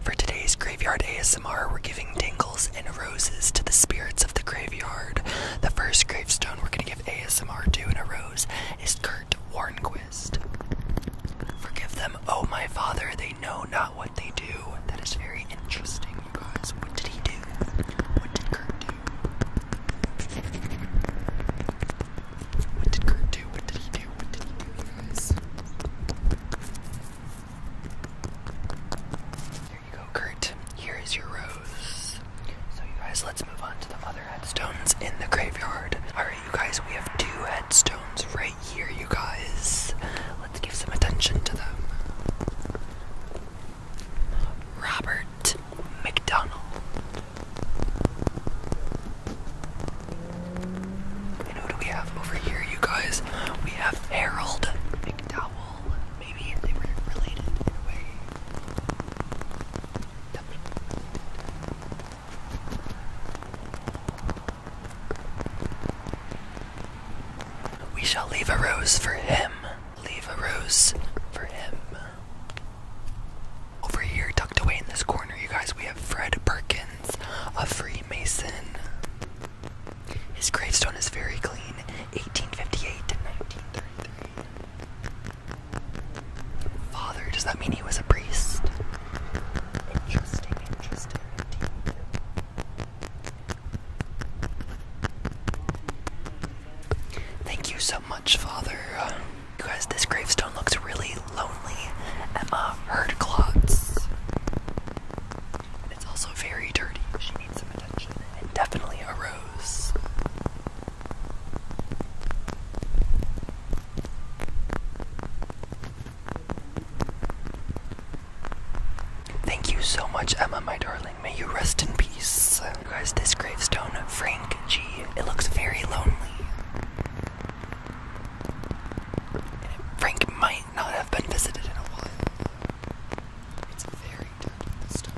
For today's graveyard ASMR, we're giving dingles and roses to the spirits of the graveyard. The first gravestone we're going to give ASMR to in a rose is Kurt Warnquist. Forgive them, oh my father, they know not what they do. That is very interesting, you guys. What did he do? What did Kurt do? What did Kurt do? What did he do? What did he do, you guys? There you go, Kurt. Here is your rose. So, you guys, let's move on to the other headstones in the graveyard. Alright, you guys, we have two headstones right here, you guys. Let's give some attention to them. Robert McDonald. And who do we have over here, you guys? We have Harold McDowell. Maybe they were related in a way. We shall leave a rose for him. Leave a rose for him. Over here, tucked away in this corner, you guys, we have Fred Perkins a Freemason. His gravestone is very clean, 1858 to 1933. Father, does that mean he was a priest? Interesting, interesting. Thank you so much, Father. You guys, this gravestone looks really lonely Emma herd clots. It's also very dirty. definitely a rose. Thank you so much, Emma, my darling. May you rest in peace. You guys, this gravestone, Frank G. It looks very lonely. Frank might not have been visited in a while. It's very dirty this time.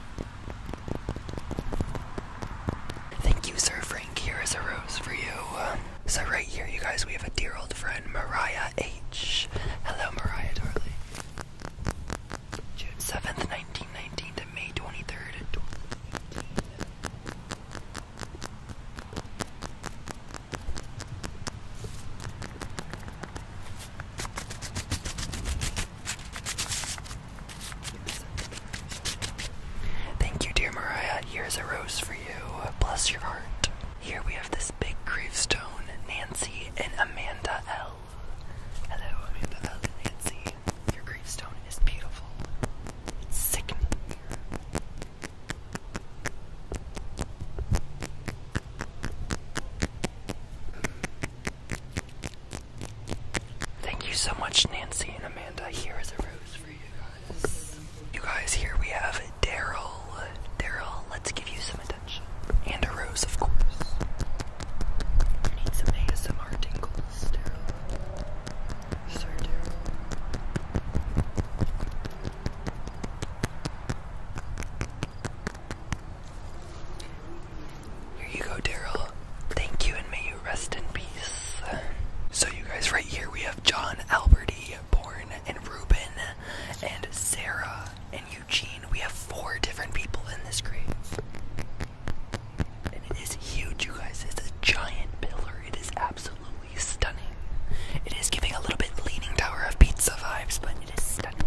Thank you, Sir Frank. Here is a rose for you. So right here, you guys, we have a dear old friend, Mariah H. Hello, Mariah, darling. June 7th, 1919 to May 23rd, Thank you, dear Mariah. Here's a rose for you. Bless your heart. Here we have this big gravestone Nancy and Amanda L. Hello, Amanda L. Nancy. Your gravestone is beautiful. sickening. Thank you so much, Nancy and Amanda. Here is a rose for you guys. You guys, here we have Daryl. Daryl, let's give you some attention. And a rose, of course. You need some ASMR tingles, Daryl so Here you go, Daryl. Thank you, and may you rest in peace. So, you guys, right here we have John, Alberti, born and Reuben, and Sarah, and Eugene. We have four different people in this grave. And it is huge, you guys. It's a giant pillar. It is absolutely absolutely stunning. It is giving a little bit Leaning Tower of Pizza vibes, but it is stunning.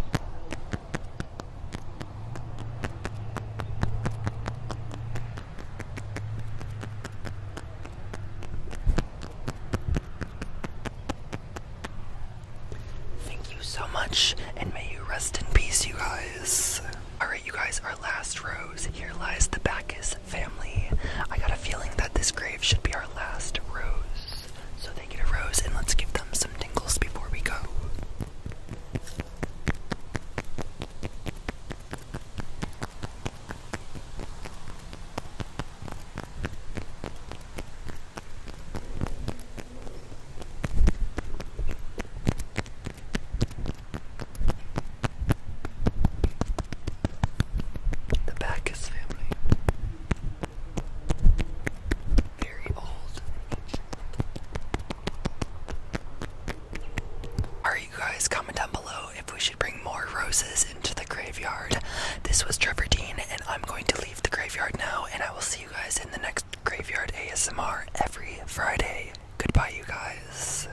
Thank you so much, and may you rest in peace, you guys. Alright, you guys, our last rose. Here lies the Bacchus family. I got a feeling that this grave should be our last rose. So they get a rose and let's give them some tingles before we go. The Bacchus family. Very old. Are you guys comment down below if we should bring more roses into the graveyard? This was Trevor Dean, and I'm going to leave the graveyard now, and I will see you guys in the next graveyard ASMR every Friday. Goodbye, you guys.